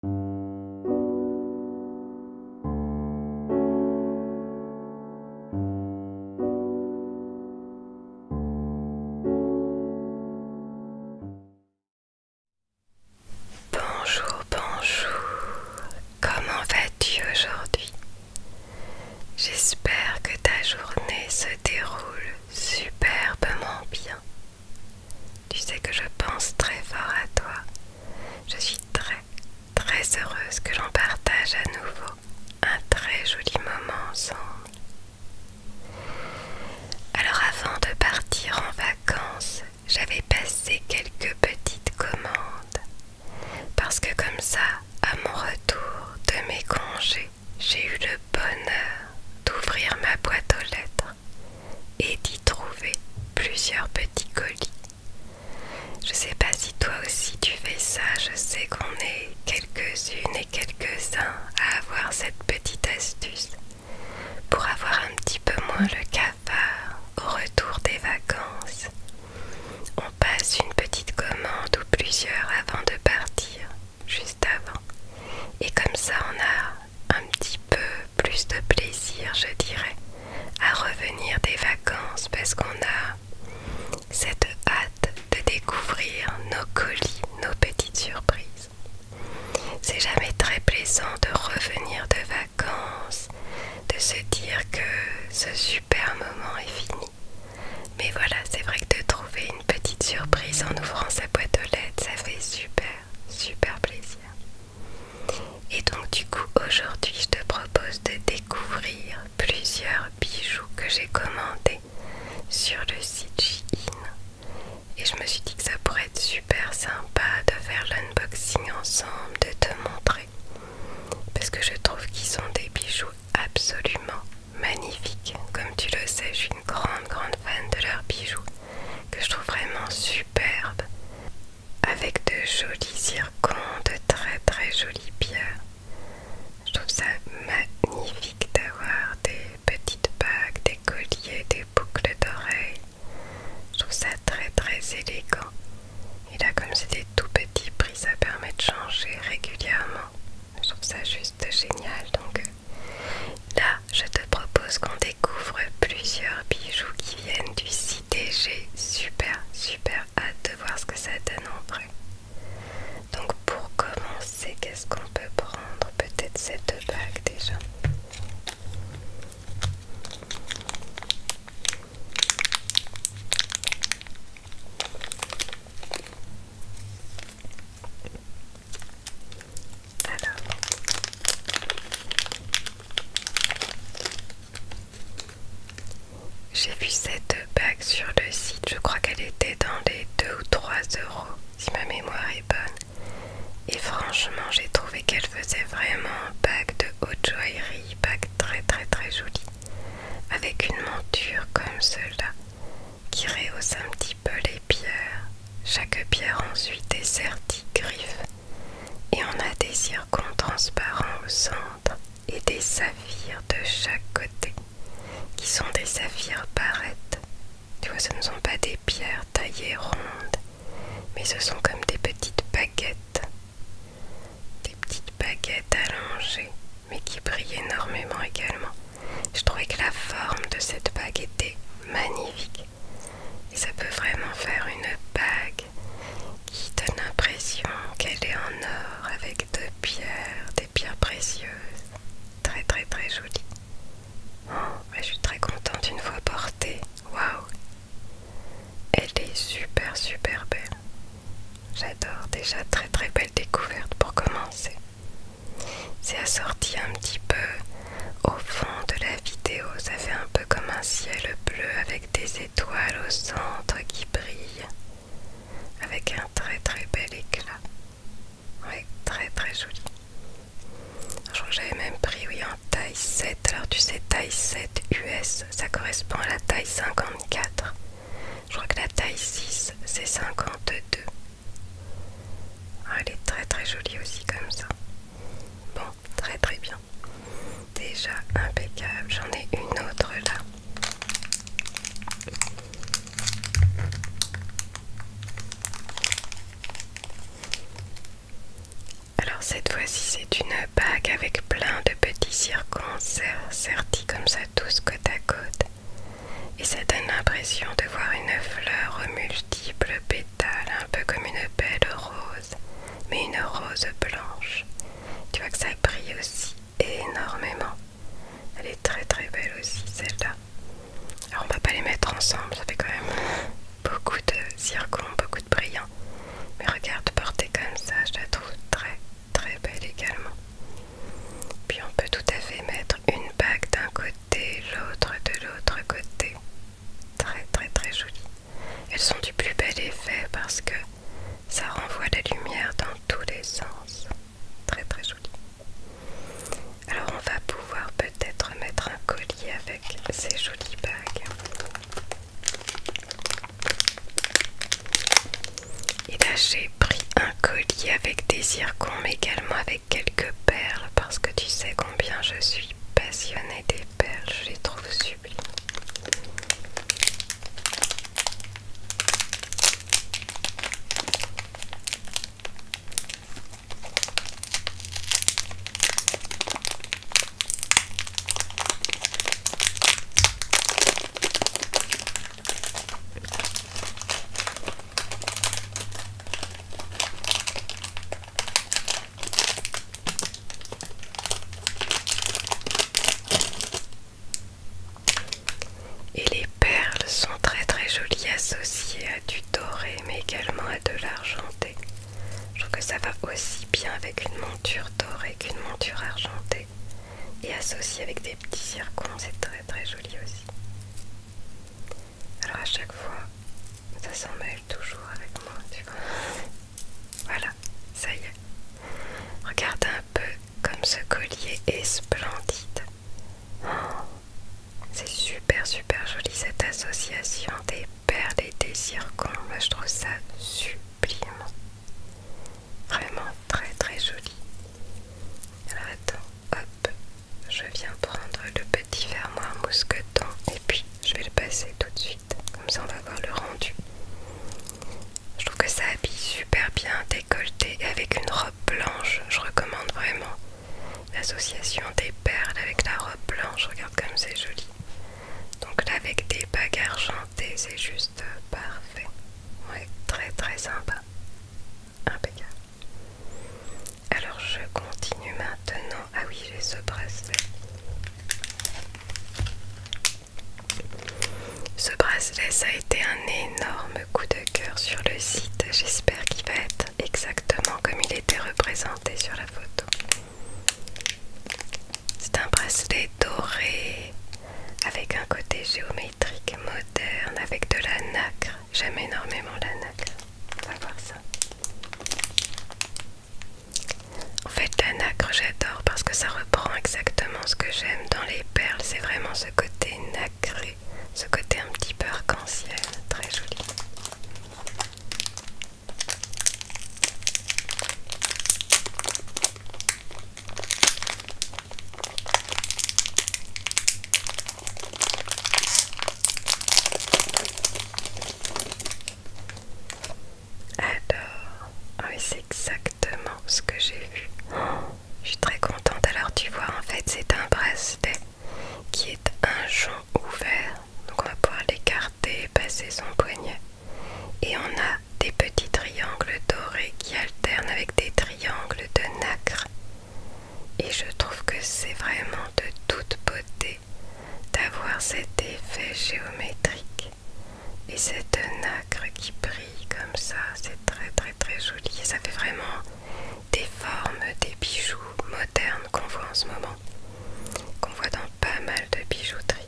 Bonjour, bonjour, comment vas-tu aujourd'hui J'espère que ta journée se déroule superbement bien. Tu sais que je pense très fort à toi. Je suis très, très heureuse que j'en partage à nouveau un très joli moment ensemble. Alors avant de partir en vacances, j'avais passé quelques petites commandes. Parce que comme ça, à mon retour de mes congés, j'ai eu le bonheur d'ouvrir ma boîte aux lettres et d'y trouver plusieurs petits colis. Je sais pas si toi aussi tu fais ça, je sais qu'on est quelques-unes et quelques-uns à avoir cette petite astuce pour avoir un petit peu moins le cafard au retour des vacances. On passe une petite commande ou plusieurs avant de partir, juste avant. Et comme ça on a un petit peu plus de plaisir, je dirais, à revenir des vacances parce qu'on a cette hâte de découvrir nos colis, nos petites surprises. C'est jamais très plaisant de revenir de vacances, de se dire que ce super moment est fini. Mais voilà, c'est vrai que de trouver une petite surprise en ouvrant sa boîte aux lettres, ça fait super, super plaisir. Et donc du coup aujourd'hui je te propose de découvrir plusieurs bijoux que j'ai commandés sur le site Shein et je me suis dit que ça pourrait être super sympa de faire l'unboxing ensemble, de te montrer parce que je trouve qu'ils sont des bijoux absolument magnifiques. Comme tu le sais, je suis une grande grande fan de leurs bijoux que je trouve vraiment superbe avec de jolis circons, de très très jolies pierres. Je trouve ça magnifique d'avoir des petites bagues, des colliers, des boucles d'oreilles. Je trouve ça très très élégant. Et là, comme c'était tout petit prix, ça permet de changer régulièrement. Je trouve ça juste génial. Donc, Là, je te propose qu'on découvre plusieurs bijoux qui viennent du site j'ai super super hâte de voir ce que ça donne en vrai. Donc pour commencer, qu'est-ce qu'on peut prendre Peut-être cette bague déjà. Alors. J'ai vu cette bague sur le site, je crois qu'elle était dans les 2 ou 3 euros, si ma mémoire est bonne. Et franchement, j'ai trouvé qu'elle faisait vraiment un bague de haute joaillerie, bague très très très jolie, avec une monture comme cela, qui rehausse un petit peu les pierres. Chaque pierre ensuite est sertie, griffe et on a des circons transparents au centre et des saphirs de chaque côté, qui sont des saphirs barrettes. Tu vois, ce ne sont pas des pierres taillées rondes, mais ce sont comme des petites baguettes. Des petites baguettes allongées, mais qui brillent énormément également. Je trouvais que la forme de cette baguette était magnifique. Et ça peut vraiment faire une bague qui donne l'impression qu'elle est en or avec deux pierres, des pierres précieuses. Très très très jolie. Oh, je suis très contente une fois portée. Waouh! Elle est super super belle. J'adore déjà très très belle découverte pour commencer. C'est assorti un petit peu au fond de la vidéo, ça fait un peu comme un ciel bleu avec des étoiles au centre qui brillent avec un très très bel éclat. Oui, très très joli. Je crois que j'avais même pris, oui, en taille 7. Alors tu sais, taille 7 US, ça correspond à la taille 54. Je crois que la taille 6, c'est 52. Ah, elle est très très jolie aussi comme ça. Bon, très très bien. Déjà impeccable. J'en ai une autre là. Alors cette fois-ci c'est une bague avec plein de petits circons sertis comme ça tous côte à côte et ça donne l'impression de voir une fleur multiple multiples pétales un peu comme une belle rose mais une rose blanche. Tu vois que ça brille aussi énormément. Elle est très très belle aussi celle-là. Alors on va pas les mettre ensemble, ça fait quand même beaucoup de zircon, beaucoup de brillants. Mais regarde portée comme ça, je la trouve très très belle également. Puis on peut tout à fait mettre une bague d'un côté, l'autre de l'autre côté. Très très très jolies. Elles sont du plus bel effet parce que ça renvoie la lumière dans tous les sens. Très très joli. Alors on va pouvoir peut-être mettre un collier avec ces jolies bagues. Et là j'ai pris un collier avec des zircons mais également avec quelques perles parce que tu sais combien je suis passionnée des je les trouve sublimes. Et les perles sont très très jolies associées à du doré mais également à de l'argenté. Je trouve que ça va aussi bien avec une monture dorée qu'une monture argentée. Et associées avec des petits circons, c'est très très joli aussi. Alors à chaque fois, ça s'en mêle toujours avec moi, tu vois. Voilà, ça y est. Regarde un peu comme ce collier est splendide. Oh, c'est super super joli cette association des perles et des circonstances. Moi je trouve ça sublime. Vraiment très très joli. Alors attends, hop, je viens prendre le Diffère-moi un mousqueton et puis je vais le passer tout de suite comme ça on va voir le rendu je trouve que ça habille super bien décolleté avec une robe blanche je recommande vraiment l'association des perles avec la robe blanche regarde comme c'est joli donc là avec des bagues argentées c'est juste parfait ouais très très sympa impeccable alors je continue maintenant. Ah oui, j'ai ce bracelet. Ce bracelet, ça a été un énorme coup de cœur sur le site. J'espère qu'il va être exactement comme il était représenté sur la photo. C'est un bracelet doré avec un côté géométrique moderne avec de la nacre. J'aime énormément la nacre. On va voir ça. En fait, la nacre, j'adore parce que ça reprend exactement ce que j'aime dans les perles. C'est vraiment ce côté nacré, ce côté un petit peu arc-en-ciel, très joli. Alors, oui, c'est exactement ce que j'ai vu. je suis très contente. Alors, tu vois, en fait, c'est un bracelet qui est un jonc ouvert. Donc, on va pouvoir l'écarter et passer son poignet. Et on a des petits triangles dorés qui alternent avec des triangles de nacre. Et je trouve que c'est vraiment de toute beauté d'avoir cet effet géométrique et cette nacre qui brille comme ça, c'est très très très joli ça fait vraiment des formes, des bijoux modernes qu'on voit en ce moment, qu'on voit dans pas mal de bijouterie.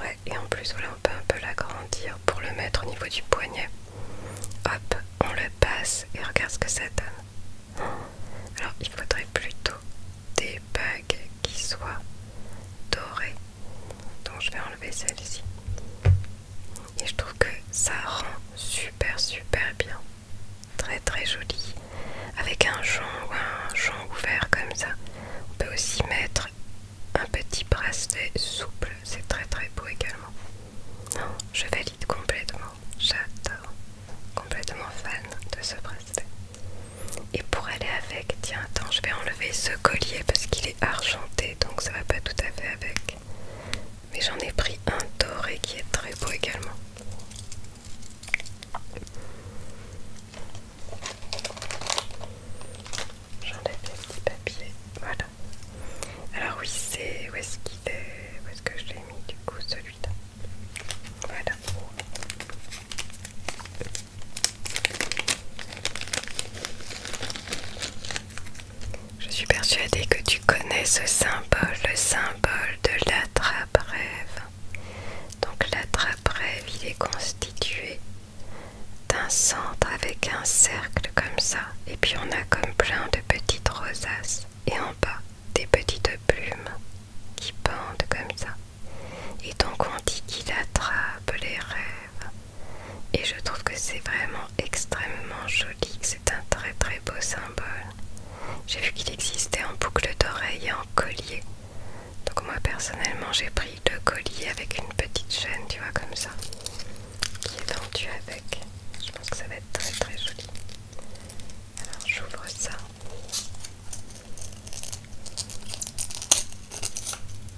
Ouais, et en plus voilà, on peut un peu l'agrandir pour le mettre au niveau du poignet. Hop, on le passe et regarde ce que ça donne. Alors il faudrait plutôt des bagues qui soient dorées. Donc je vais enlever celle-ci. Et je trouve que ça rend super super bien. Très très joli. Avec un jonc ou un jonc ouvert comme ça. On peut aussi mettre un petit bracelet souple. C'est très très beau également. je valide complètement j'adore, complètement fan de ce bracelet. Et pour aller avec, tiens, attends, je vais enlever ce collier parce qu'il est argenté, donc ça va pas tout à fait avec. Mais j'en ai pris un doré qui est très beau également. J'enlève les petits papiers, voilà. Alors oui, c'est où est-ce qu'il est Où est-ce que je l'ai mis du coup celui-là je suis persuadée que tu connais ce symbole, le symbole de l'attrape-rêve. Donc l'attrape-rêve, il est constitué d'un centre avec un cercle comme ça. Et puis on a comme plein de petites rosaces et en bas des petites plumes qui pendent comme ça. Et donc on dit qu'il attrape les rêves. Et je trouve que c'est vraiment extrêmement joli, c'est un très très beau symbole. J'ai vu qu'il existait en boucle d'oreille et en collier. Donc moi personnellement j'ai pris le collier avec une petite chaîne, tu vois, comme ça, qui est vendue avec. Je pense que ça va être très très joli. Alors j'ouvre ça.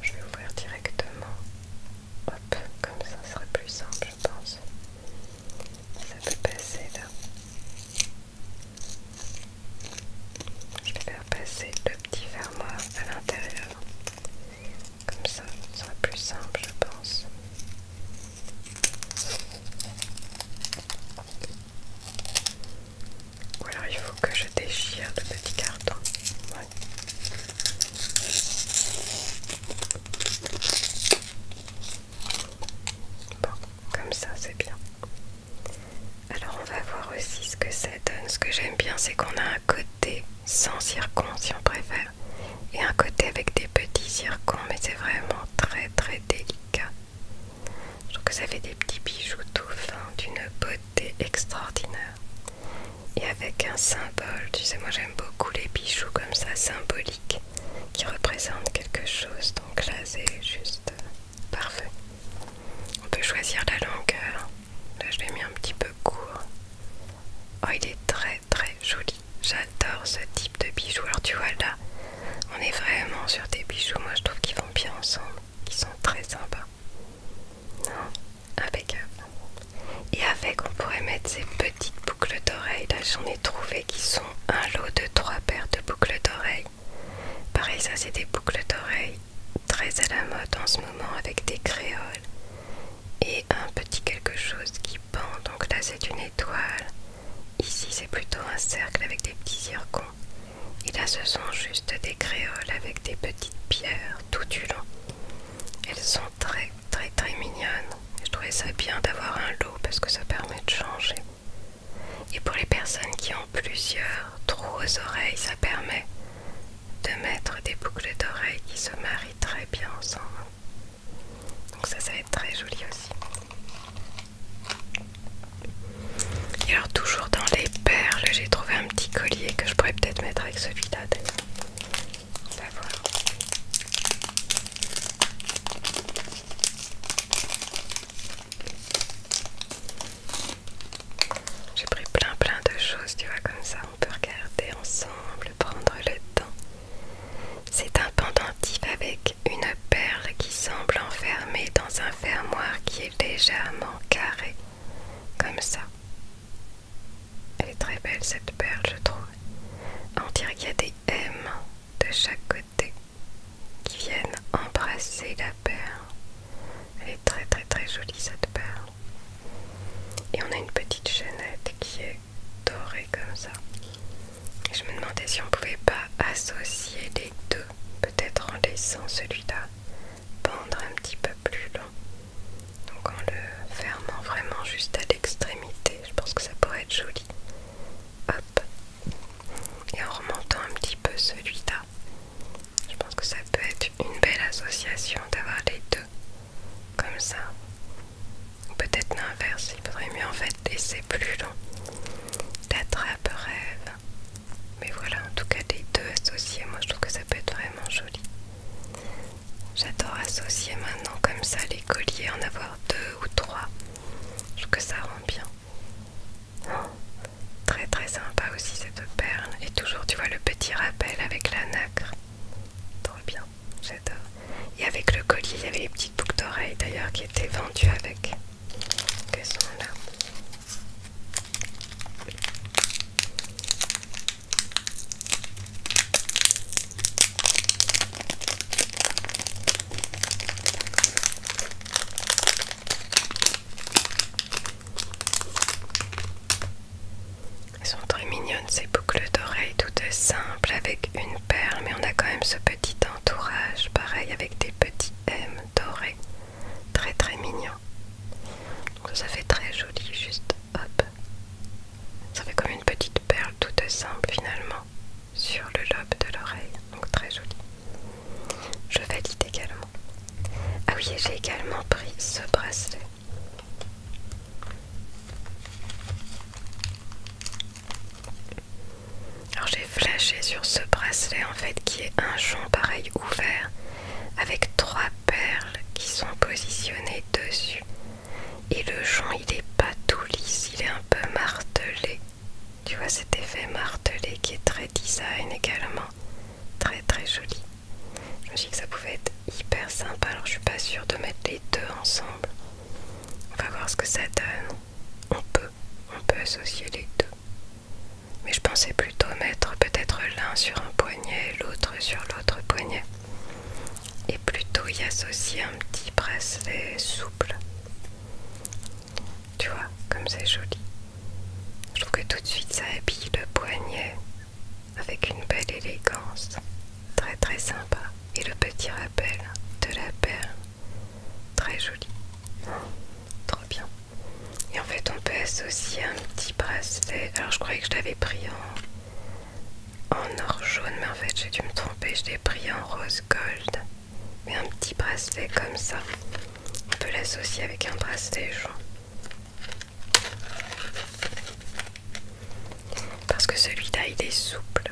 Je vais ouvrir directement. Hop, comme ça sera plus simple, je pense. Ça peut passer là. Je vais faire passer le petit fermoir à l'intérieur. Comme ça, ce sera plus simple, je pense. Ou alors il faut que je déchire le petit carton. Bon, comme ça c'est bien. Alors on va voir aussi ce que ça donne. Ce que j'aime bien c'est qu'on a un côté sans circon si on préfère et un côté avec des petits circons mais c'est vraiment très très délicat. Je trouve que ça fait des petits bijoux tout fins d'une beauté extraordinaire. Et avec un symbole, tu sais, moi j'aime beaucoup les bijoux comme ça, symboliques, qui représentent quelque chose. Donc là, c'est juste parfait. On peut choisir la longueur. Là, je l'ai mis un petit peu court. Oh, il est très très joli. J'adore ce type de bijoux. Alors, tu vois là, on est vraiment sur des bijoux, moi je trouve qu'ils vont bien ensemble, qui sont très sympas. Non, impeccable. Euh, et avec, on pourrait mettre ces petites boucles d'oreilles. Là, j'en ai trouvé qui sont un lot de trois paires de boucles d'oreilles. Pareil, ça, c'est des boucles d'oreilles très à la mode en ce moment avec des créoles et un petit quelque chose qui pend. Donc là, c'est une étoile Ici, c'est plutôt un cercle avec des petits zircons. Et là, ce sont juste des créoles avec des petites pierres tout du long. Elles sont très, très, très mignonnes. Je trouvais ça bien d'avoir un lot parce que ça permet de changer. Et pour les personnes qui ont plusieurs trous aux oreilles, ça permet de mettre des boucles d'oreilles qui se marient très bien ensemble. Donc ça, ça va être très joli aussi. Et alors toujours dans les perles, j'ai trouvé un petit collier que je pourrais peut-être mettre avec celui-là On va voir. J'ai pris plein plein de choses, tu vois, comme ça on peut regarder ensemble, prendre le temps. C'est un pendentif avec une perle qui semble enfermée dans un fermoir qui est légèrement carré, comme ça. Elle est très belle cette perle, je trouve. On dirait qu'il y a des M de chaque côté qui viennent embrasser la perle. Elle est très très très jolie cette perle. Et on a une petite chaînette qui est dorée comme ça. Je me demandais si on pouvait pas associer les deux, peut-être en laissant celui-là pendre un petit peu plus long. Donc en le fermant vraiment juste à l'extrémité, je pense que ça pourrait être joli. Hop. Et en remontant un petit peu celui-là, je pense que ça peut être une belle association d'avoir les deux comme ça. Peut-être l'inverse, il faudrait mieux en fait laisser plus long la trappe rêve. Mais voilà, en tout cas, les deux associés, moi je trouve que ça peut être vraiment joli. J'adore associer maintenant comme ça les colliers, en avoir deux ou trois. Je trouve que ça rend bien. Oh, très très sympa aussi cette perle. Et toujours, tu vois, le petit rappel avec la nacre. Trop bien, j'adore. Et avec le collier, il y avait les petites boucles d'oreilles d'ailleurs qui étaient vendues avec sont là. Elles sont très mignonnes ces boucles d'oreilles est simples avec une perle mais on a quand même ce petit entourage, pareil avec des petits M dorés, très très mignon. ça fait très joli, juste hop. Ça fait comme une petite perle toute simple finalement sur le lobe de l'oreille, donc très joli. Je valide également. Ah oui, et j'ai également pris ce bracelet. Alors j'ai flashé sur ce bracelet en fait qui est un champ pareil ouvert avec trois perles qui sont positionnées dessus. Et le champ il est pas tout lisse, il est un peu martelé. Tu vois cet effet martelé qui est très design également. Très très joli. Je me suis dit que ça pouvait être hyper sympa. Alors je suis pas sûre de mettre les deux ensemble. On va voir ce que ça donne. On peut on peut associer les deux. Mais je pensais plutôt mettre peut-être l'un sur un poignet l'autre sur l'autre poignet. Et plutôt y associer un petit bracelet souple. Tu vois, comme c'est joli. Je trouve que tout de suite ça habille le poignet avec une belle élégance. Très très sympa. Et le petit rappel de la perle Très joli. Trop bien. Et en fait, on peut associer un petit bracelet. Alors, je croyais que je l'avais pris en, en or jaune, mais en fait, j'ai dû me tromper. Je l'ai pris en rose gold. Mais un petit bracelet comme ça. On peut l'associer avec un bracelet jaune. Parce que celui-là, il est souple.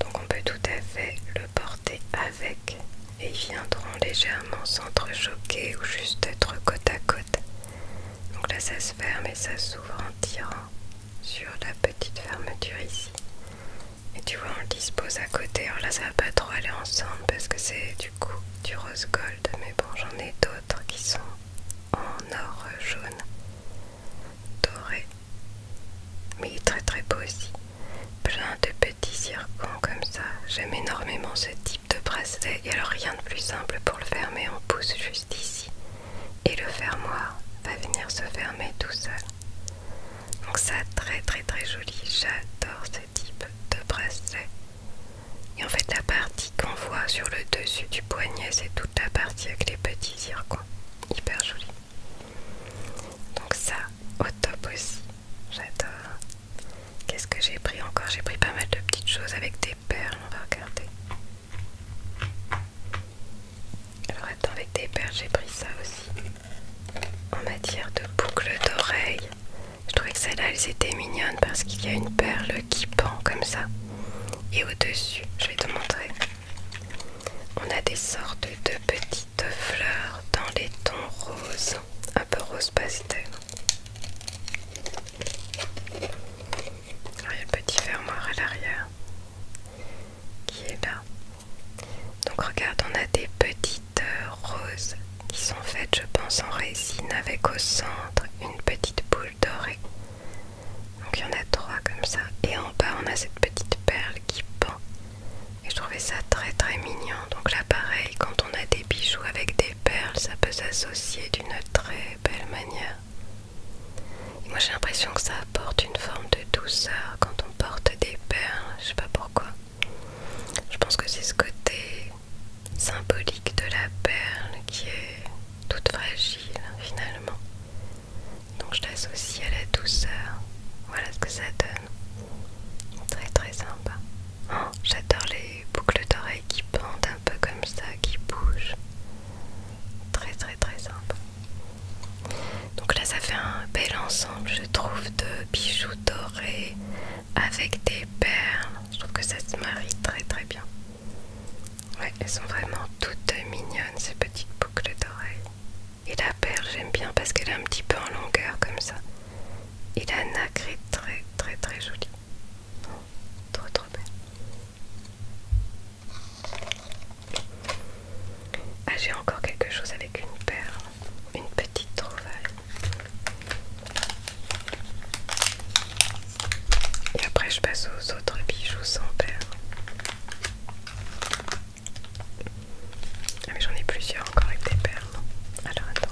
Donc on peut tout à fait le porter avec et ils viendront légèrement s'entrechoquer ou juste être côte à côte. Donc là ça se ferme et ça s'ouvre en tirant sur la petite fermeture ici. Et tu vois on le dispose à côté. Alors là ça va pas trop aller ensemble parce que c'est du coup du rose gold. Mais bon j'en ai d'autres qui sont en or jaune doré. Mais il est très très beau aussi. Plein de petits circons comme ça. J'aime énormément ce type de bracelet. Et alors rien de plus simple pour le fermer, on pousse juste ici. Et le fermoir va venir se fermer tout seul. Donc ça très très très joli. J'adore ce type de bracelet. Et en fait la partie qu'on voit sur le dessus du poignet, c'est toute la partie avec les petits circons Hyper joli. Donc ça, au top aussi. J'adore. Qu'est-ce que j'ai pris encore J'ai pris pas mal de petites choses avec des perles. On va regarder. Alors attends, avec des perles, j'ai pris ça aussi. En matière de boucles d'oreilles, je trouvais que celles-là, elles étaient mignonnes parce qu'il y a une perle qui pend comme ça. Et au-dessus, je vais te montrer. On a des sortes de petites fleurs dans les tons roses, un peu rose pastel. il y a le petit fermoir à l'arrière qui est là. Donc regarde, on a des petites euh, roses qui sont faites, je pense, en résine avec au centre une petite boule dorée. Donc il y en a trois comme ça. Et en bas, on a cette petite perle qui pend et je trouvais ça très très mignon. Donc là pareil, quand on a des bijoux avec des perles, ça peut s'associer d'une très belle manière. moi j'ai l'impression que ça apporte une forme de douceur quand on porte des perles. Je sais pas pourquoi. Je pense que c'est ce côté symbolique de la perle qui est toute fragile finalement donc je l'associe à la douceur. Voilà ce que ça donne. Très très sympa. Oh, j'adore les boucles d'oreilles qui pendent un peu comme ça, qui bougent. Très très très sympa. Donc là ça fait un bel ensemble je trouve de bijoux dorés avec des perles. Je trouve que ça se marie très très bien. Ouais, elles sont vraiment toutes mignonnes ces petites boucles d'oreilles. Et la perle, j'aime bien parce qu'elle est un petit peu en longueur comme ça. Et la nacre est très très très jolie. trop trop belle. Ah, j'ai encore quelque chose avec une perle. Une petite trouvaille. Et après, je passe aux autres bijoux sans perle. Ah mais j'en ai plusieurs encore avec des perles. Alors attends.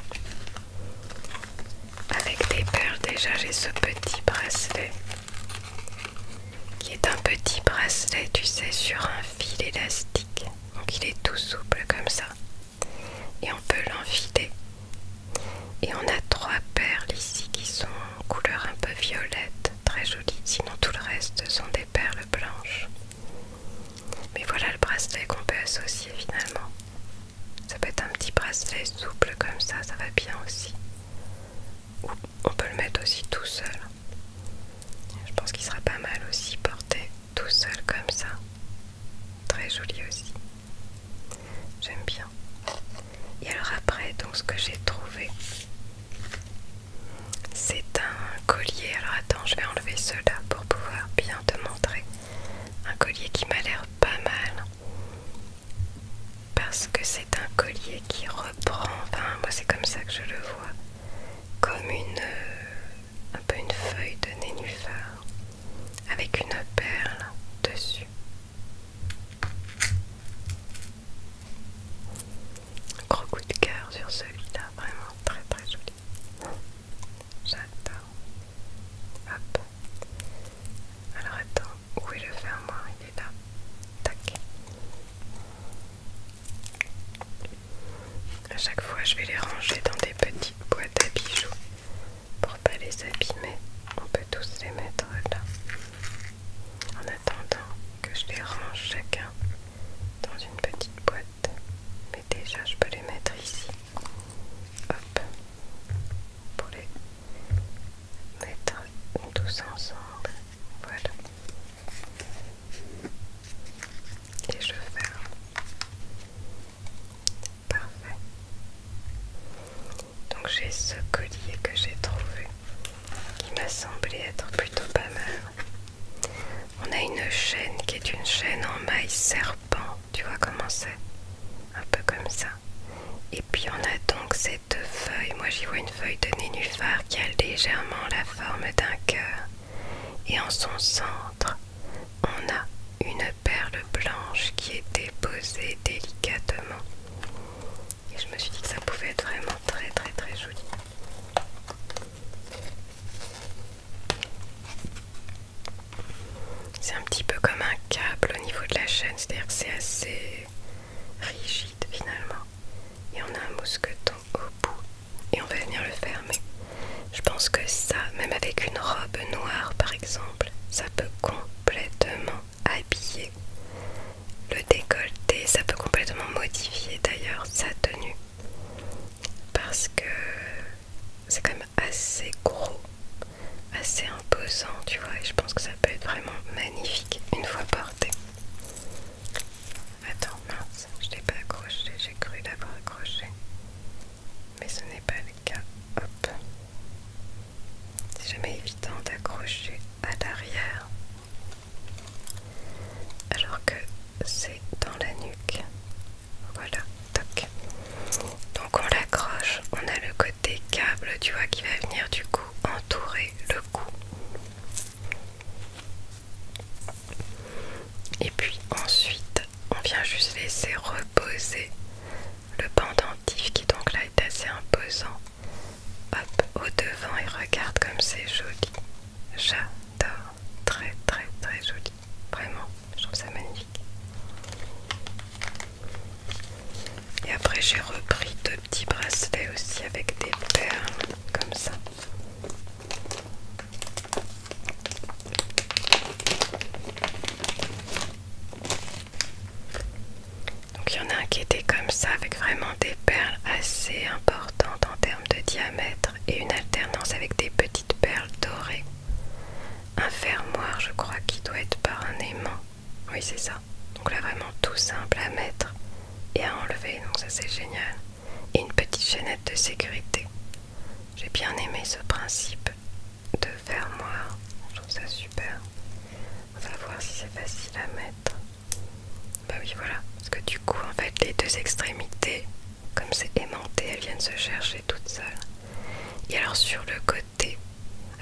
Avec des perles déjà j'ai ce petit bracelet. Qui est un petit bracelet, tu sais, sur un fil élastique. Donc il est tout souple comme ça. Et on peut l'enfiler. Et on a trois perles ici qui sont en couleur un peu violette, très jolie. Sinon tout le reste sont des perles blanches. Mais voilà le bracelet qu'on peut associer finalement. Ça peut être un petit bracelet souple comme ça, ça va bien aussi. Ou on peut le mettre aussi tout seul. Je pense qu'il sera pas mal aussi porté tout seul comme ça. Très joli aussi. J'aime bien. Et alors après, donc ce que j'ai trouvé, c'est un collier. Alors attends, je vais enlever cela pour pouvoir bien te montrer. Un collier qui m'a l'air pas mal. Parce que c'est un collier qui reprend, enfin moi c'est comme ça que je le vois, comme une, euh, un peu une feuille de nénuphar avec une perle dessus. Gros coup de cœur sur celui-là, vraiment très très joli. J'adore. Hop. Alors attends, où est le fermoir Il est là. Tac. À chaque fois, je vais les ranger dans des petites boîtes à bijoux pour pas les abîmer. On peut tous les mettre là. En attendant que je les range chacun dans une petite boîte mais déjà je peux les mettre ici hop pour les mettre tous ensemble voilà et je ferme parfait donc j'ai ce collier que j'ai trouvé qui m'a semblé être plutôt pas mal on a une chaîne qui est une chaîne en maille serpent, tu vois comment c'est Un peu comme ça. Et puis on a donc cette feuille, moi j'y vois une feuille de nénuphar qui a légèrement la forme d'un cœur. Et en son centre, on a une perle blanche qui est déposée délicatement. Et je me suis dit que ça pouvait être vraiment très très très joli. C'est un petit peu comme un câble au niveau de la chaîne, c'est-à-dire que c'est assez rigide finalement. Et on a un mousqueton au bout et on va venir le fermer. Je pense que ça, même avec une robe noire par exemple, ça peut complètement habiller le décolleté, ça peut complètement modifier d'ailleurs sa tenue parce que c'est quand même assez gros, assez imposant, tu vois, et je pense que ça peut être vraiment magnifique une fois porté. Attends, mince, je l'ai pas accroché, j'ai cru l'avoir accroché, mais ce n'est pas le cas. Hop, c'est jamais évident d'accrocher à l'arrière alors que c'est dans la nuque. Voilà, toc. Donc on l'accroche, on a le côté câble, tu vois, qui va venir du coup entourer le cou. Et puis ensuite, on vient juste laisser reposer le pendentif qui donc là est assez imposant. Hop, au devant et regarde comme c'est joli. J'adore. Très très très joli. Vraiment, je trouve ça magnifique. Et après j'ai repris deux petits bracelets aussi avec des perles comme ça. Donc il y en a un qui était comme ça avec vraiment des perles assez importantes en termes de diamètre et une alternance avec des petites perles dorées. Un fermoir, je crois, qui doit être par un aimant. Oui, c'est ça. Donc là, vraiment tout simple à mettre et à enlever. Donc ça, c'est génial. Et une petite chaînette de sécurité. J'ai bien aimé ce principe de fermoir. Je trouve ça super. On va voir si c'est facile à mettre. Bah oui, voilà. Parce que du coup, en fait, les deux extrémités, comme c'est aimanté, elles viennent se chercher toutes seules. Et alors sur le côté,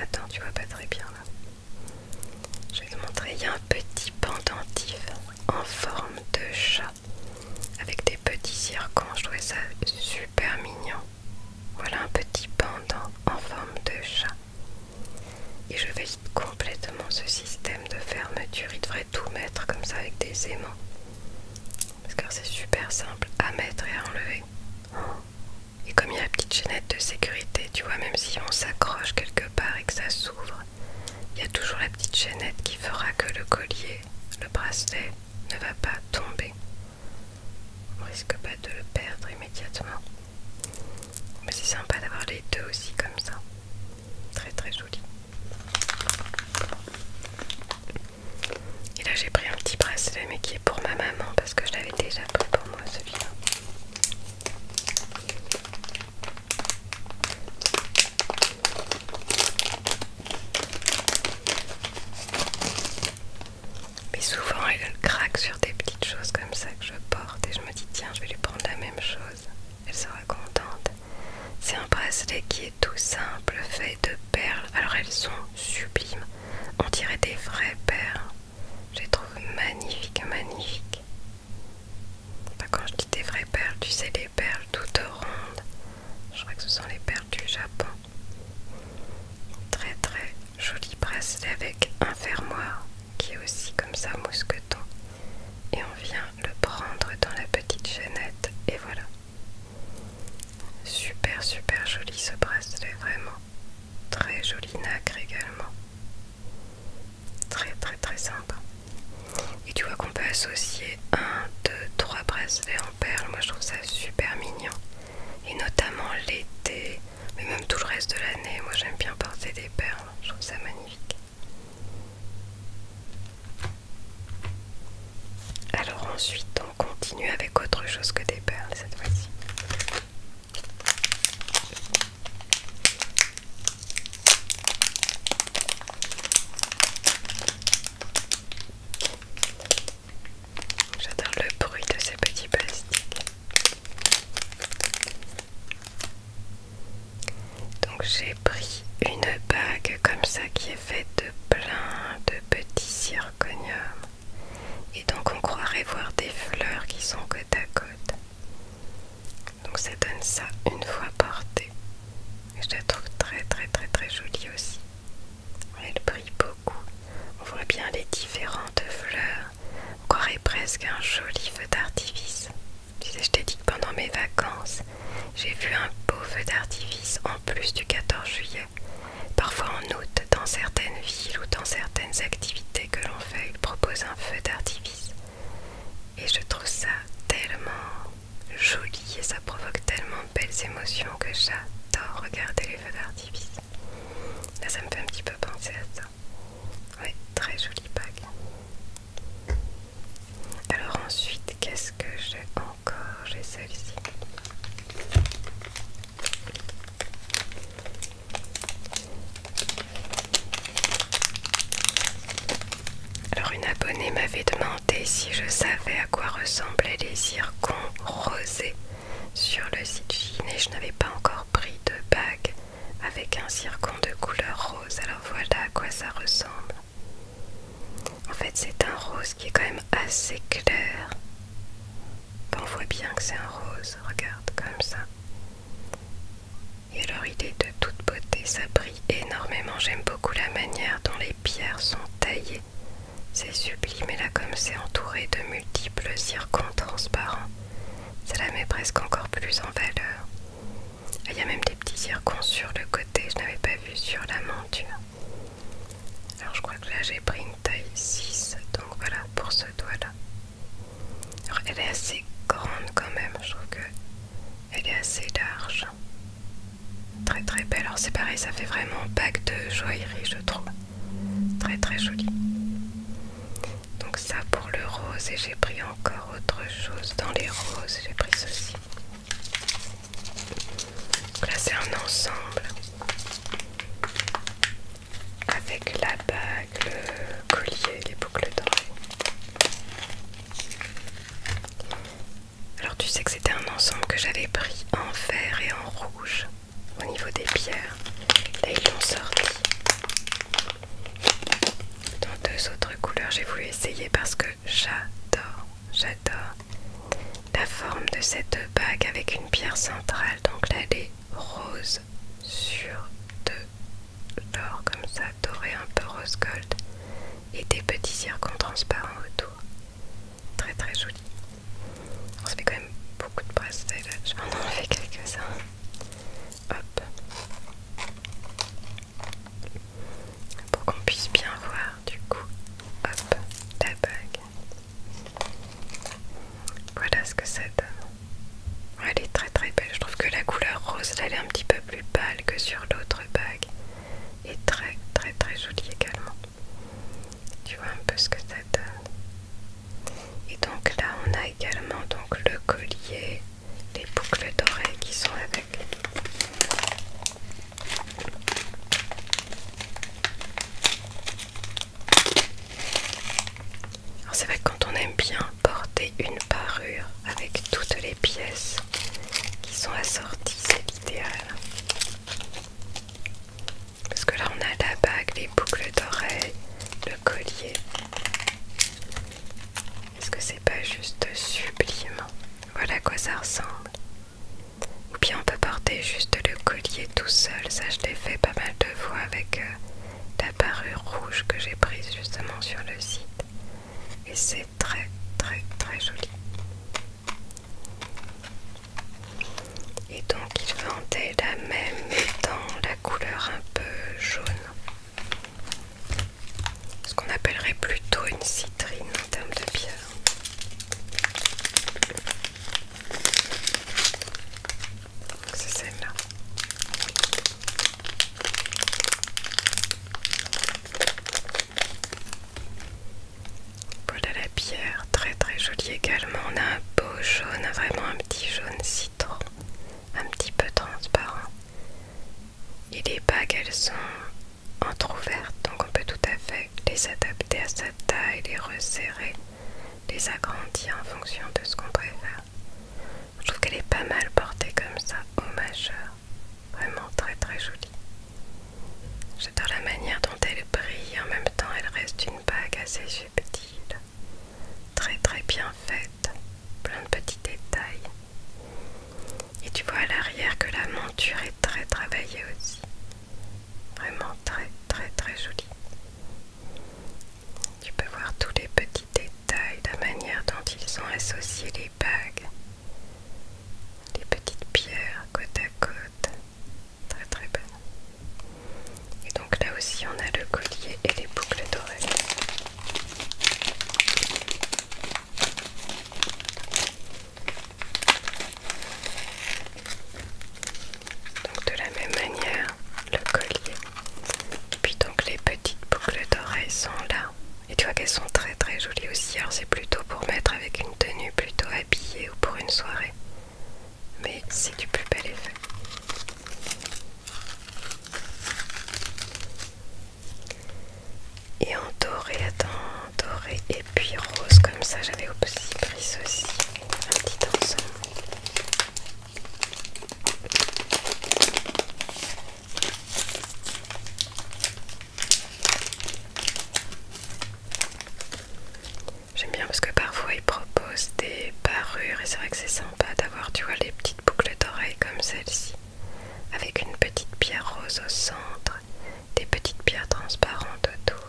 attends, tu vois pas très bien là. Je vais te montrer, il y a un petit pendentif en forme de chat avec des petits circons. Je trouvais ça super mignon. Voilà un petit pendant en forme de chat. Et je vais complètement ce système de fermeture. Il devrait tout mettre comme ça avec des aimants. Parce que c'est super simple à mettre et à enlever. Et comme il y a la petite chaînette de sécurité, tu vois, même si on s'accroche quelque part et que ça s'ouvre, il y a toujours la petite chaînette qui fera que le collier, le bracelet, ne va pas tomber. On risque pas de le perdre immédiatement. Mais c'est sympa d'avoir les deux aussi comme ça. Très très joli. Et là j'ai pris un petit bracelet mais qui est pour ma maman parce que je l'avais déjà pris pour moi celui-là. Mais souvent elle craque sur des petites choses comme ça que je porte et je me dis tiens je vais lui prendre la même chose elle sera contente. C'est un bracelet qui est tout simple, fait de perles. Alors elles sont sublimes. On dirait des vraies perles. Je les trouve magnifiques, magnifiques. quand je dis des vraies perles, tu sais, les perles toutes rondes. Je crois que ce sont les perles du Japon. Très très joli bracelet avec un fermoir qui est aussi comme ça mousqueton et on vient le prendre dans la petite chaînette et voilà. Super super joli ce bracelet vraiment. Très joli, nacre également. Très très très simple Et tu vois qu'on peut associer un, deux, trois bracelets en perles. Moi je trouve ça super mignon. Et notamment l'été, mais même tout le reste de l'année. Moi j'aime bien porter des perles. Je trouve ça magnifique. Alors ensuite on continue avec autre chose que des perles cette fois-ci. J'adore le bruit de ces petits plastiques. Donc j'ai pris une bague comme ça qui est faite de plein de petits circoniums. Et donc on croirait voir des fleurs qui sont côte à côte. Donc ça donne ça une fois portée. Et je la trouve très très très très jolie aussi. Elle brille beaucoup. On voit bien les différentes fleurs. On croirait presque un joli feu d'artifice je t'ai dit que pendant mes vacances, j'ai vu un beau feu d'artifice en plus du 14 juillet. Parfois en août, dans certaines villes ou dans certaines activités que l'on fait, ils proposent un feu d'artifice. Et je trouve ça tellement joli et ça provoque tellement de belles émotions que j'adore regarder les feux d'artifice. Là, ça me fait un petit peu penser à ça. Oui, très joli Pâques. Alors ensuite, qu'est-ce que j'ai encore J'ai celle-ci. Alors une abonnée m'avait demandé si je savais à quoi ressemblaient les circons rosés sur le site Chine et je n'avais pas encore pris de bague avec un circon de couleur rose. Alors voilà à quoi ça ressemble. En fait, c'est un rose qui est quand même assez clair. On voit bien que c'est un rose, regarde comme ça. Et alors, il est de toute beauté, ça brille énormément. J'aime beaucoup la manière dont les pierres sont taillées. C'est sublime, et là, comme c'est entouré de multiples zircons transparents, la met presque encore plus en valeur. Il y a même des petits zircons sur le côté, je n'avais pas vu sur la monture. Alors je crois que là j'ai pris une taille 6, donc voilà pour ce doigt-là. Alors elle est assez grande quand même, je trouve que elle est assez large. Très très belle, alors c'est pareil, ça fait vraiment pack de joaillerie je trouve. Très très joli. Donc ça pour le rose et j'ai pris encore autre chose dans les roses, j'ai pris ceci. Là c'est un ensemble avec la bague, le collier, les boucles d'oreilles. Alors tu sais que c'était un ensemble que j'avais pris en vert et en rouge au niveau des pierres. Là ils l'ont sorti. Dans deux autres couleurs, j'ai voulu essayer parce que j'adore, j'adore la forme de cette bague avec une pierre centrale. Donc là, elle est rose sur de l'or comme ça, doré un peu rose gold et des petits circons transparents autour. Très très joli. On se fait quand même beaucoup de bracelets là. Je vais en enlever quelques-uns. Hop pour qu'on puisse bien voir du coup hop la bague voilà ce que ça donne elle est très très belle je trouve que la couleur rose elle est un petit peu plus pâle que sur l'autre bague et très très très jolie également tu vois un peu ce que ça donne et donc là on a également donc le collier les boucles d'oreilles qui sont avec. C'est vrai quand on aime bien porter une parure avec toutes les pièces qui sont assorties, c'est l'idéal. Parce que là on a la bague, les boucles d'oreilles, le collier. Est-ce que c'est pas juste sublime voilà à quoi ça ressemble. Ou bien on peut porter juste le collier tout seul. Ça, je l'ai fait pas mal de fois avec euh, la parure rouge que j'ai prise justement sur le site. Et c'est très très très joli. Et donc il vendait la même dans la couleur un peu jaune ce qu'on appellerait plutôt une citrine en termes de pierre. C'est celle-là. Voilà la pierre, très très jolie également. On a un beau jaune, vraiment un petit jaune citron, un petit peu transparent. Et les bagues, elles sont entrouvertes, donc on peut tout à fait les adapter à sa taille, les resserrer, les agrandir en fonction de ce qu'on préfère. Je trouve qu'elle est pas mal portée comme ça au majeur. Vraiment très très jolie. J'adore la manière dont elle brille, en même temps elle reste une bague assez subtile, très très bien faite plein de petits détails. Et tu vois à l'arrière que la monture est très travaillée aussi. Vraiment très très très jolie. Tu peux voir tous les petits détails, la manière dont ils ont associé les bagues, les petites pierres côte à côte. Très très belle. Et donc là aussi on a le collier et les boucles d'oreilles. Donc de la même manière, le collier. Et puis donc les petites boucles d'oreilles sont là. Et tu vois qu'elles sont très très jolies aussi. Alors c'est plutôt pour mettre avec une tenue plutôt habillée ou pour une soirée. Mais c'est du plus bel effet et en doré, attends, doré et puis rose comme ça. J'avais aussi pris aussi un petit ensemble. J'aime bien parce que parfois ils proposent des parures et c'est vrai que c'est sympa d'avoir, tu vois, les petites boucles d'oreilles comme celle-ci avec une petite pierre rose au centre, des petites pierres transparentes autour,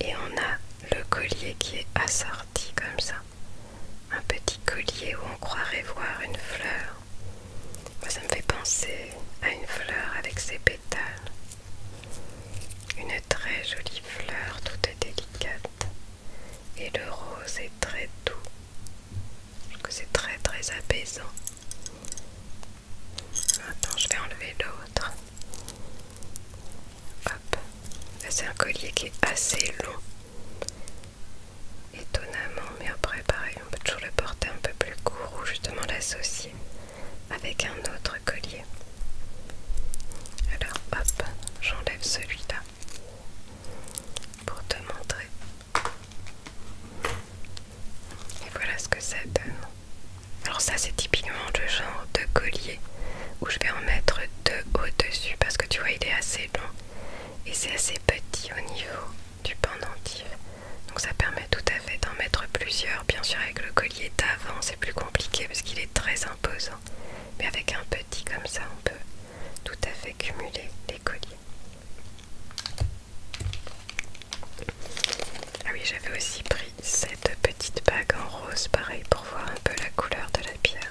et on a le collier qui est assorti comme ça. Un petit collier où on croirait voir une fleur. ça me fait penser à une fleur avec ses pétales. Une très jolie fleur toute délicate. Et le rose est très doux que c'est très très apaisant. Maintenant je vais enlever l'autre. Hop. C'est un collier qui est assez long. Étonnamment, mais après pareil, on peut toujours le porter un peu plus court ou justement l'associer avec un autre collier. Alors hop, j'enlève celui-là pour te montrer. Et voilà ce que ça donne. Alors ça c'est typiquement le genre de collier où je vais en mettre deux au-dessus parce que tu vois il est assez long et c'est assez petit au niveau du pendentif. Donc ça permet tout à fait d'en mettre plusieurs. Bien sûr avec le collier d'avant c'est plus compliqué parce qu'il est très imposant. Mais avec un petit comme ça on peut tout à fait cumuler les colliers. Ah oui, j'avais aussi pris cette petite bague en rose, pareil pour voir un peu la couleur de la pierre.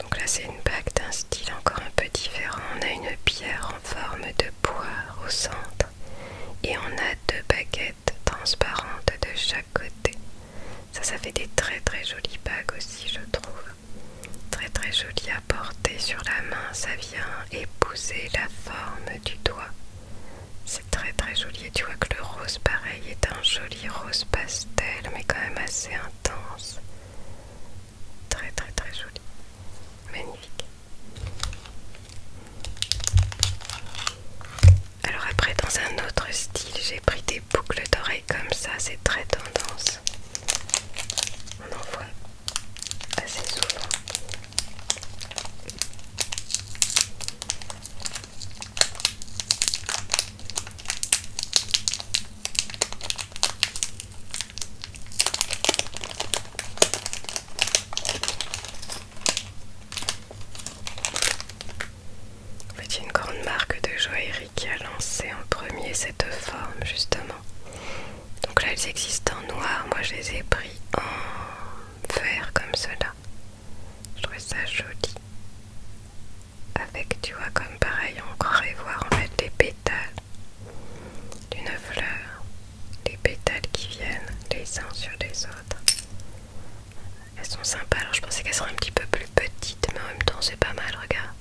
Donc là c'est une bague d'un style encore un peu différent. On a une pierre en forme de poire au centre et on a deux baguettes transparentes de chaque côté. Ça, ça fait des très très jolies bagues aussi, je trouve. Très très joli à porter sur la main, ça vient épouser la forme du doigt. C'est très très joli et tu vois que le rose pareil est un joli rose pastel mais quand même assez intense. Très très très joli. Magnifique. Alors après dans un autre style j'ai pris des boucles d'oreilles comme ça, c'est très tendance. On en voit assez souvent. En fait, une grande marque de joaillerie qui a lancé en premier cette forme, justement. Donc là, elles existent en noir. Moi, je les ai pris en vert, comme cela. Je trouvais ça joli. Avec, tu vois, comme pareil, on croirait voir en fait les pétales d'une fleur. Les pétales qui viennent les uns sur les autres. Elles sont sympas, alors je pensais qu'elles seraient un petit peu plus petites, mais en même temps c'est pas mal, regarde.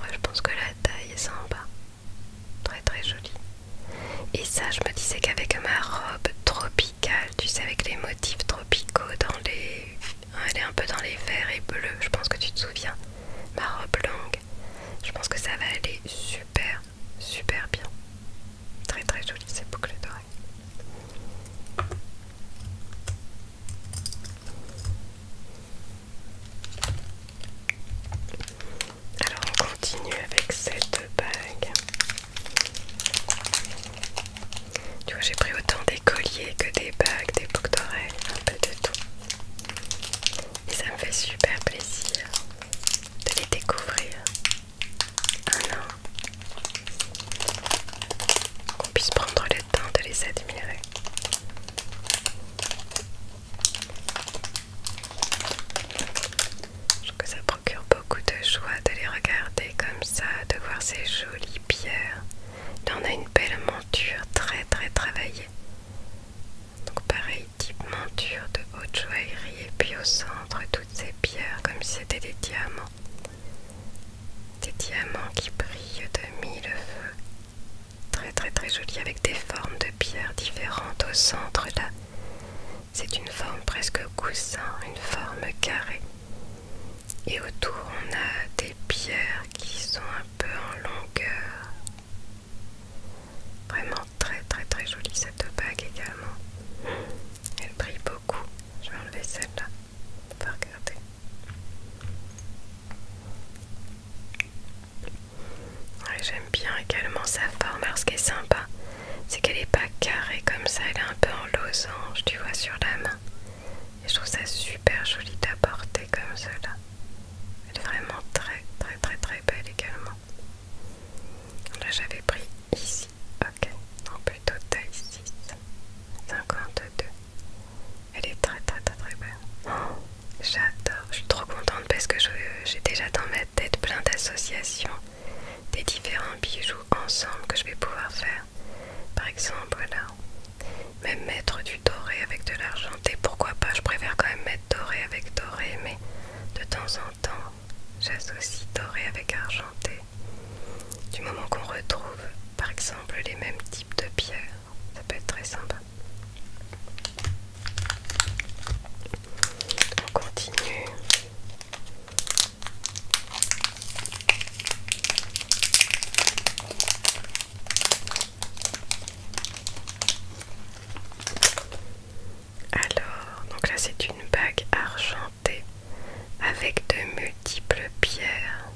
Ouais, je pense que la taille est sympa. Très très jolie. Et ça, je me disais qu'avec ma robe tropicale, tu sais, avec les motifs tropicaux dans les... Hein, elle est un peu dans les verts et bleus, je pense que tu te souviens. Ma robe longue, je pense que ça va aller super, super bien. Très très jolie ces boucles d'oreilles. Alors on continue avec cette bague. Tu vois, j'ai pris autant des colliers que des bagues, des boucles d'oreilles, un peu de tout. Et ça me fait super plaisir de les découvrir un an qu'on puisse prendre le temps de les admirer. Je trouve que ça procure beaucoup de joie de les regarder comme ça, de voir ces jolies pierres. Là on a une belle monture très très travaillée. Donc pareil, type monture de haute joaillerie et puis au centre toutes ces pierres comme si c'était des diamants. Des diamants qui brillent de mille feux. Très très très joli avec des formes de pierres différentes au centre là. C'est une forme presque coussin, une forme carrée. Et autour on a des pierres qui sont un peu en longueur. Vraiment très très très jolie cette bague également. Elle brille beaucoup. Je vais enlever celle-là. On regarder. J'aime bien également sa forme. Alors, ce qui est sympa, c'est qu'elle n'est pas carrée comme ça. Elle est un peu en losange, tu vois, sur la main. Et je trouve ça super joli d'apporter comme cela. Elle est vraiment très, très, très, très belle également. Là, j'avais pris Ici, ok, non plutôt taille 6. 52. Elle est très très très très belle. Oh, j'adore, je suis trop contente parce que j'ai déjà dans ma tête plein d'associations des différents bijoux ensemble que je vais pouvoir faire. Par exemple, voilà, même mettre du doré avec de l'argenté, pourquoi pas, je préfère quand même mettre doré avec doré, mais de temps en temps, j'associe doré avec argenté, du moment qu'on retrouve par exemple les mêmes types de pierres, ça peut être très sympa. On continue. Alors, donc là c'est une bague argentée avec de multiples pierres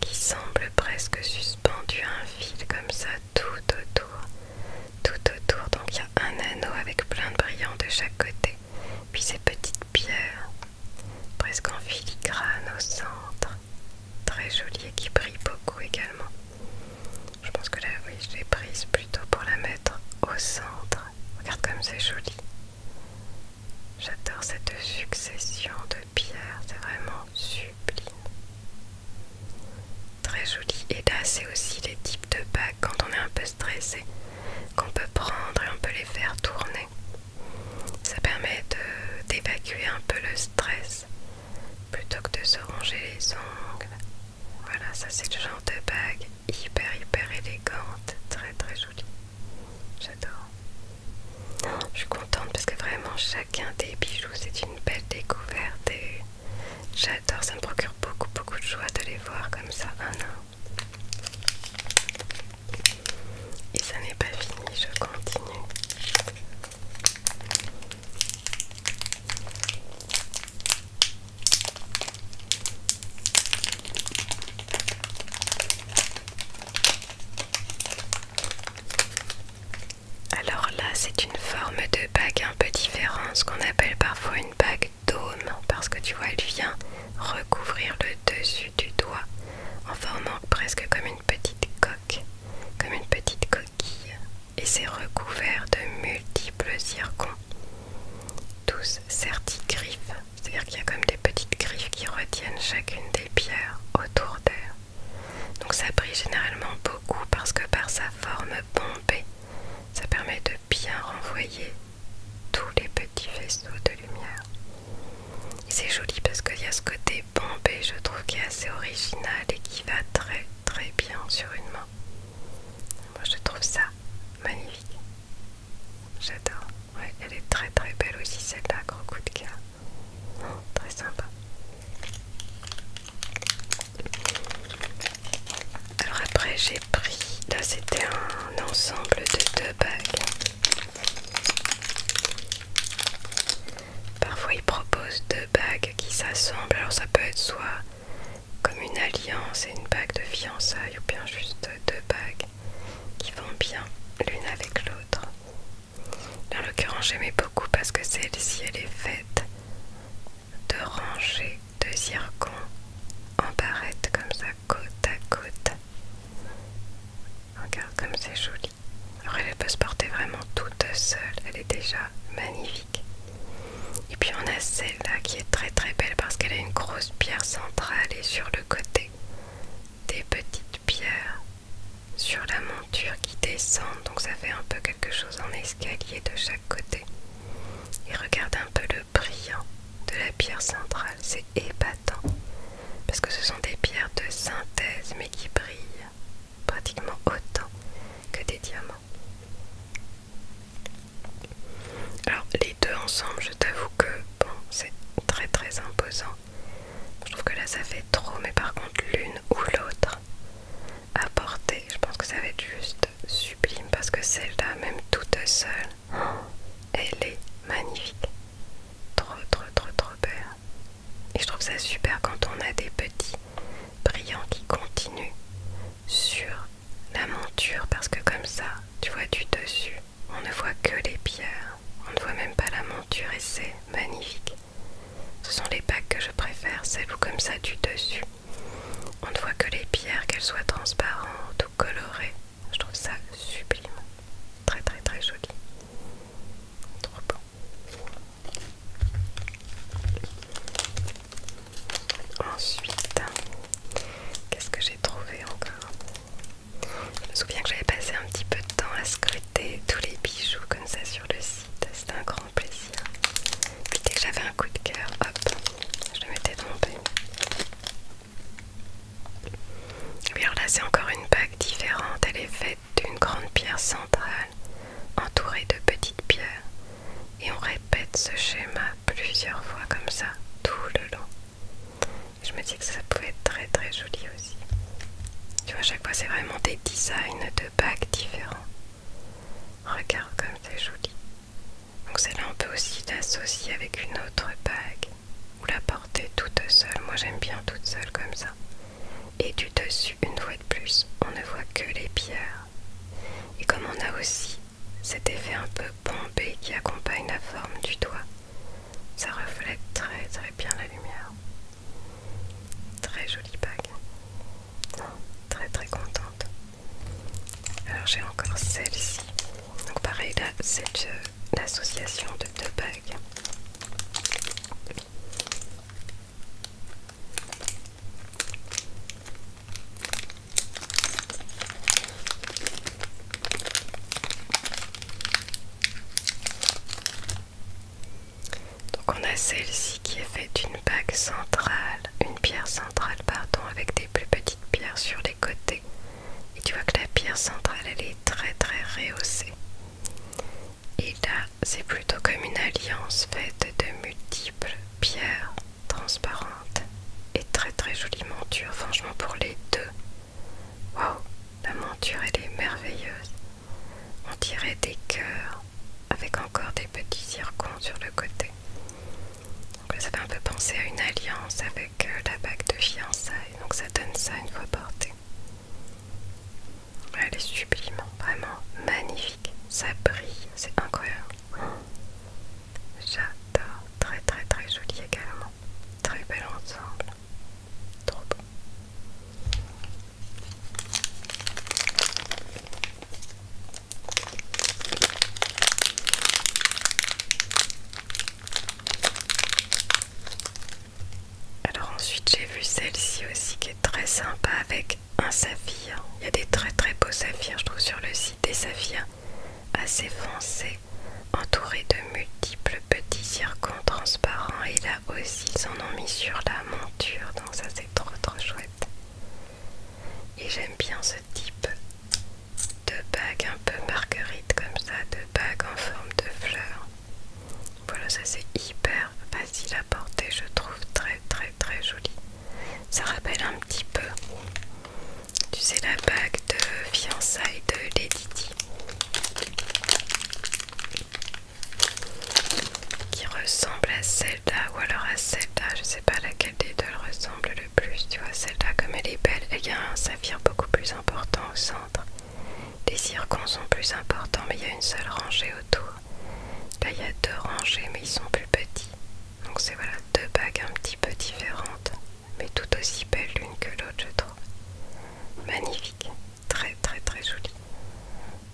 qui semblent presque suspendues à un fil comme ça tout autour, tout autour. Donc il y a un anneau avec plein de brillants de chaque côté, puis ces petites pierres presque en filigrane au centre, très jolies et qui brille beaucoup également. Je pense que là, oui, je l'ai prise plutôt pour la mettre au centre. Regarde comme c'est joli. J'adore cette succession de pierres, c'est vraiment sublime. Très joli. Et là, c'est aussi les types de bagues quand on est un peu stressé qu'on peut prendre et on peut les faire tourner. Ça permet d'évacuer un peu le stress plutôt que de se ronger les ongles. Voilà, ça c'est le genre de bagues hyper hyper élégante, très très jolie. J'adore. je suis contente parce que vraiment chacun des bijoux c'est une belle découverte et j'adore, ça me procure beaucoup beaucoup de joie de les voir comme ça Et ça n'est pas fini, je continue. Alors là, c'est une forme de bague un peu différente, ce qu'on appelle parfois une bague d'aume parce que tu vois, elle vient recouvrir le dessus du doigt en formant presque comme une petite coque, comme une petite coquille, et c'est recouvert de multiples zircons, tous griffes c'est-à-dire qu'il y a comme des petites griffes qui retiennent chacune des pierres autour d'elle. Donc ça brille généralement beaucoup parce que par sa forme bombée, ça permet de bien renvoyer tous les petits vaisseaux de lumière. C'est joli parce qu'il y a ce côté bombé, je trouve, qui est assez original et qui va très très bien sur une main. Moi je trouve ça magnifique. J'adore. Ouais, elle est très très belle aussi celle-là, gros coup de cœur. très sympa. Alors après j'ai pris, là c'était un ensemble de deux bagues. Parfois ils proposent deux bagues qui s'assemblent, alors ça peut être soit comme une alliance et une bague de fiançailles ou bien juste deux bagues qui vont bien l'une avec l'autre. Dans l'occurrence, j'aimais beaucoup parce que celle-ci, elle est faite de rangées de zircons en barrettes comme ça, côte à côte. Regarde comme c'est joli. Alors elle peut se porter vraiment toute seule, elle est déjà magnifique. Et puis on a celle-là qui est très très belle parce qu'elle a une grosse pierre centrale et sur le côté des petites pierres sur la monture qui descendent donc ça fait un peu quelque chose en escalier de chaque côté. Et regarde un peu le brillant de la pierre centrale, c'est épatant parce que ce sont des pierres de synthèse mais qui brillent pratiquement autant que des diamants. Alors les deux ensemble, je t'avoue que bon, c'est très très imposant. Je trouve que là ça fait trop, mais par contre l'une ou l'autre à porter, je pense que ça va être juste sublime parce que celle-là, même toute seule, elle est magnifique. Trop trop trop trop belle. Et je trouve ça super quand on a des petits brillants qui continuent sur la monture parce que comme ça, tu vois du dessus, on ne voit que les pierres, on ne voit même pas la monture et c'est magnifique. Ce sont les packs que je préfère, celles où comme ça du dessus. On ne voit que les pierres, qu'elles soient transparentes ou colorées. Je trouve ça sublime. Très très très joli. Trop bon Ensuite, qu'est-ce que j'ai trouvé encore je me souviens que j'avais passé un petit peu de temps à scruter tous les bijoux comme ça sur le site. C'était un grand plaisir. Puis dès que j'avais un coup de cœur, hop, je le mettais dans mon Et alors là, c'est encore une bague différente. Elle est faite d'une grande pierre centrale entourée de petites pierres. Et on répète ce schéma plusieurs fois comme ça tout le long. Je me dis que ça peut être très très joli aussi. Tu vois, à chaque fois, c'est vraiment des designs de bagues différents. Regarde comme c'est joli. Donc celle-là, on peut aussi l'associer avec une autre bague ou la porter toute seule. Moi, j'aime bien toute seule comme ça. Et du dessus, une fois de plus, on ne voit que les pierres. Et comme on a aussi cet effet un peu bombé qui accompagne la forme du doigt, ça reflète très très bien la lumière. Très jolie bague. très très contente. Alors j'ai encore celle-ci. Donc pareil là, c'est euh, l'association de deux bagues. Donc on a celle-ci qui est faite d'une bague centrale, une pierre centrale pardon, avec des plus petites pierres sur les côtés. Et tu vois que la pierre centrale elle est très très rehaussée. Et là c'est plutôt comme une alliance faite de multiples pierres transparentes et très très joliment dures, Franchement pour les deux, Wow, la monture elle est merveilleuse. On dirait des cœurs avec encore des petits circons sur le côté. Donc ça fait un peu penser à une alliance avec euh, la bague de fiançailles. Donc ça donne ça une fois portée. Elle est sublime, vraiment magnifique. Ça brille, c'est incroyable. J'adore, très très très jolie également. Très bel ensemble. Trop beau. Alors ensuite j'ai vu celle-ci aussi qui est très sympa avec un saphir. Il y a des très très beaux saphirs je trouve sur le site des saphirs assez foncé, entouré de multiples petits circons transparents et là aussi ils en ont mis sur la monture donc ça c'est trop trop chouette et j'aime bien ce type de bague un peu marguerite comme ça de bague en forme de fleurs voilà ça c'est hyper facile à porter je trouve très très très joli ça rappelle un petit peu tu sais la bague de fiançailles de Lady qui ressemble à Zelda ou alors à Zelda, je sais pas laquelle des deux elle ressemble le plus, tu vois Zelda, comme elle est belle, il y a un saphir beaucoup plus important au centre, les circons sont plus importants mais il y a une seule rangée autour, là il y a deux rangées mais ils sont plus petits, donc c'est voilà deux bagues un petit peu différentes mais tout aussi belle l'une que l'autre, je trouve. Magnifique, très très très jolie.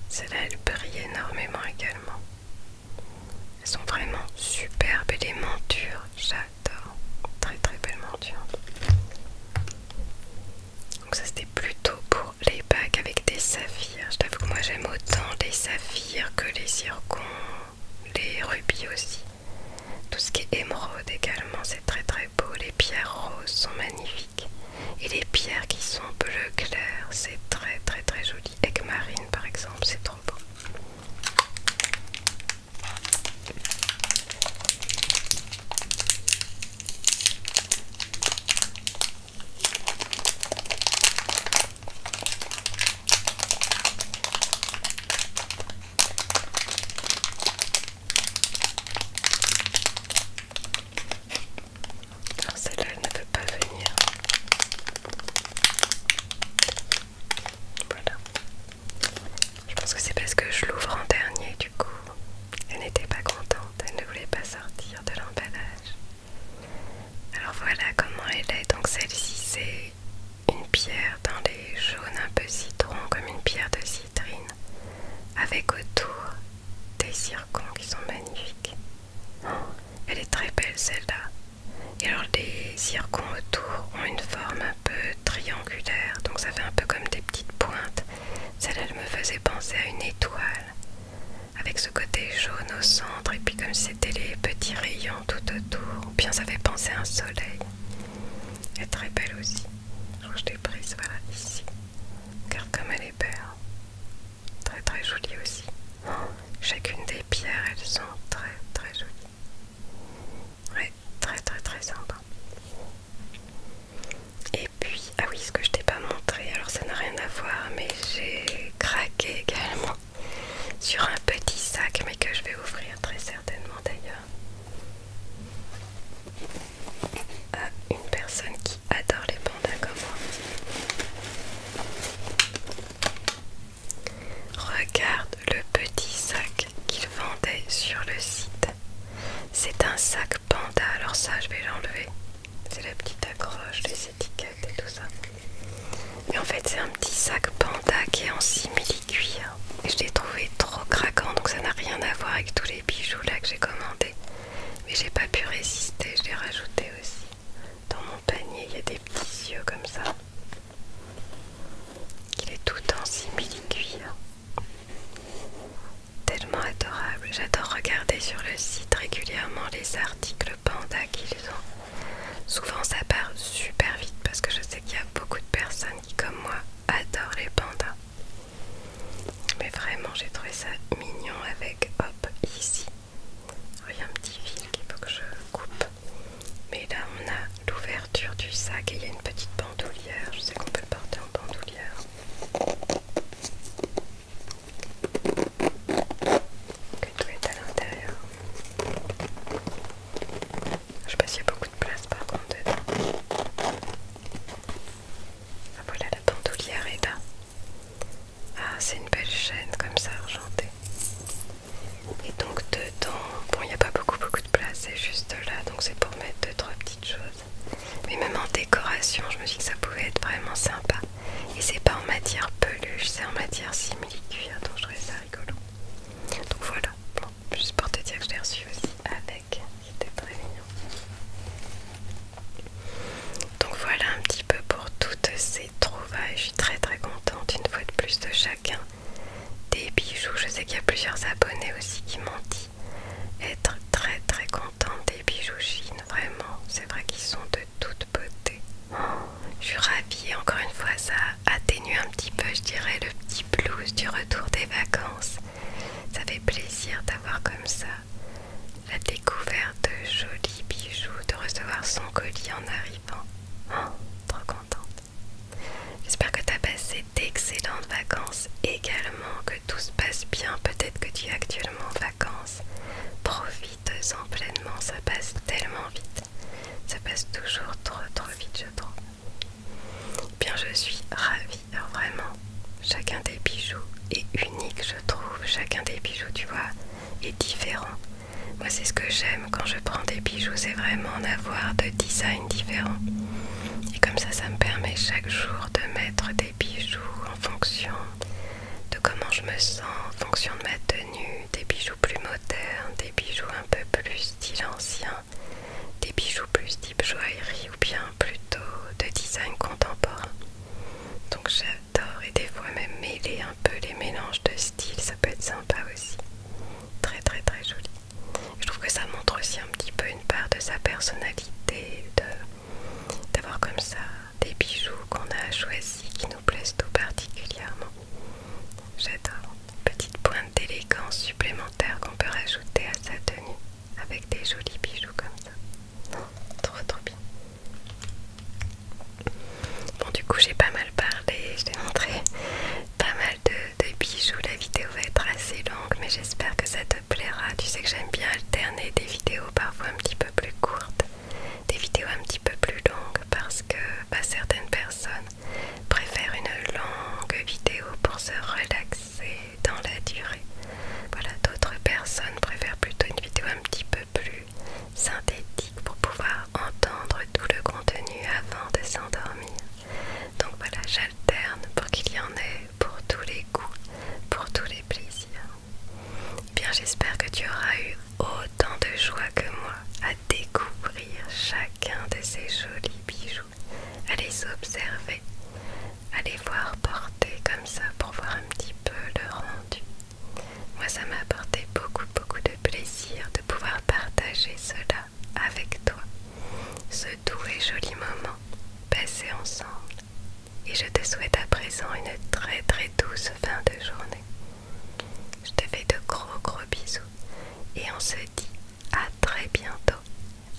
Celle-là, elle brille énormément également. Elles sont vraiment superbes et les montures, j'adore. Très très belles mentures Donc ça c'était plutôt pour les bacs avec des saphirs. Je t'avoue que moi j'aime autant les saphirs que les zircons, les rubis aussi. Tout ce qui est émeraude également, c'est très très beau. Les pierres roses sont magnifiques. Et les pierres qui sont bleu clair, c'est très très très joli. Aigmarine par exemple, c'est trop beau. Alors celle-là, elle ne peut pas venir. Voilà. Je pense que c'est parce que je l'ouvre en dernier, du coup. Elle n'était pas contente, elle ne voulait pas sortir de l'emballage. Alors voilà comment elle est. Donc celle-ci, c'est une pierre d'un les jaunes un peu citron comme une pierre de citrine, avec autour des circons qui sont magnifiques. Oh, elle est très belle celle-là. Et alors les circons autour ont une forme un peu triangulaire, donc ça fait un peu comme des petites pointes. Celle-là, elle me faisait penser à une étoile, avec ce côté jaune au centre, et puis comme c'était les petits rayons tout autour, bien ça fait penser à un soleil. Elle est très belle aussi. je l'ai prise, voilà, ici. Car comme elle est belle. Hein. Très très jolie aussi. Chacune des pierres, elles sont très très jolies. Oui, très très très sympa. Et puis, ah oui, ce que je t'ai pas montré, alors ça n'a rien à voir, mais j'ai craqué également sur un petit sac, mais que je vais ouvrir très certainement d'ailleurs à une personne qui adore les pandas comme moi. Regarde le petit sac qu'il vendait sur le site. C'est un sac panda, alors ça je vais l'enlever. C'est la petite accroche, les étiquettes et tout ça. Et en fait c'est un petit sac panda qui est en simili-cuir je l'ai trouvé trop craquant, donc ça n'a rien à voir avec tous les bijoux là que j'ai commandé Mais j'ai pas pu résister, je l'ai rajouté aussi. Dans mon panier, il y a des petits yeux comme ça. Il est tout en simili-cuir. Tellement adorable. J'adore regarder sur le site régulièrement les articles panda qu'ils ont. Souvent ça part super vite parce que je sais qu'il y a beaucoup de personnes qui, comme moi, adore les pandas. Mais vraiment, j'ai trouvé ça mignon avec hop ici. Il y a un petit fil qu'il faut que je coupe. Mais là, on a l'ouverture du sac et il y a une petite bandoulière. Je sais qu'on peut le porter en bandoulière. Que tout est à l'intérieur. Je sais pas s'il y a beaucoup de place par contre dedans. Ah, voilà la bandoulière est là. Ah, c'est une belle chaîne comme ça argentée. Et donc dedans, bon, il n'y a pas beaucoup beaucoup de place, c'est juste là, donc c'est pour mettre deux trois petites choses. Mais même en décoration, je me suis dit que ça pouvait être vraiment sympa. Et c'est pas en matière peluche, c'est en matière simili donc je trouvais ça rigolo. Donc voilà, juste pour te dire que je l'ai reçu aussi avec, c'était très mignon. Donc voilà un petit peu pour toutes ces trouvailles, je suis très très contente une fois de plus de chacun des bijoux. Je sais qu'il y a plusieurs abonnés aussi qui m'ont dit être très très contente des bijoux Chine, vraiment, c'est vrai qu'ils sont de toute beauté. je suis ravie, encore une fois ça a des un petit peu, je dirais, le petit blues du retour des vacances. Ça fait plaisir d'avoir comme ça la découverte de jolis bijoux, de recevoir son colis en arrivant. Hein, trop contente. J'espère que tu as passé d'excellentes vacances également, que tout se passe bien. Peut-être que tu es actuellement en vacances. Profite-en pleinement, ça passe tellement vite. Ça passe toujours trop trop vite, Bien, je suis ravie, vraiment. Chacun des bijoux est unique, je trouve. Chacun des bijoux, tu vois, est différent. Moi, c'est ce que j'aime quand je prends des bijoux, c'est vraiment d'avoir avoir de designs différents. Et comme ça, ça me permet chaque jour de mettre des bijoux en fonction de comment je me sens, en fonction de ma tenue, des bijoux plus modernes, des bijoux un peu plus style ancien, des bijoux plus type joaillerie ou bien plutôt de design contemporain. Donc j'adore et des fois même mêler un peu les mélanges de styles, ça peut être sympa aussi. Très très très joli. Je trouve que ça montre aussi un petit peu une part de sa personnalité, d'avoir comme ça des bijoux qu'on a choisis qui nous plaisent tout particulièrement. J'adore. Petite pointe d'élégance supplémentaire qu'on peut rajouter à sa tenue avec des jolis bijoux comme ça. trop trop bien. Bon du coup j'ai pas mal parlé, je t'ai montré pas mal de, bijoux. La vidéo va être assez longue mais j'espère que ça te plaira. Tu sais que j'aime bien alterner des vidéos parfois un petit peu plus courtes, des vidéos un petit peu plus longues parce que bah, certaines personnes préfère une longue vidéo pour se relaxer dans la durée. Voilà, d'autres personnes préfèrent plutôt une vidéo un petit peu plus synthétique pour pouvoir entendre tout le contenu avant de s'endormir. Donc voilà, j'alterne pour qu'il y en ait pour tous les goûts, pour tous les plaisirs. Eh bien, j'espère que tu auras eu autant de joie que moi à découvrir chacun de ces jolis bijoux. Allez observer, allez voir porter comme ça pour voir un petit peu le rendu. Moi, ça m'a apporté beaucoup, beaucoup de plaisir de pouvoir partager cela avec toi, ce doux et joli moment passé ensemble. Et je te souhaite à présent une très, très douce fin de journée. Je te fais de gros, gros bisous et on se dit à très bientôt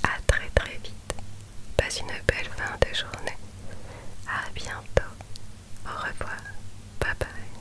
à très très vite. Passe une belle fin de journée. À bientôt. Au revoir. Bye bye.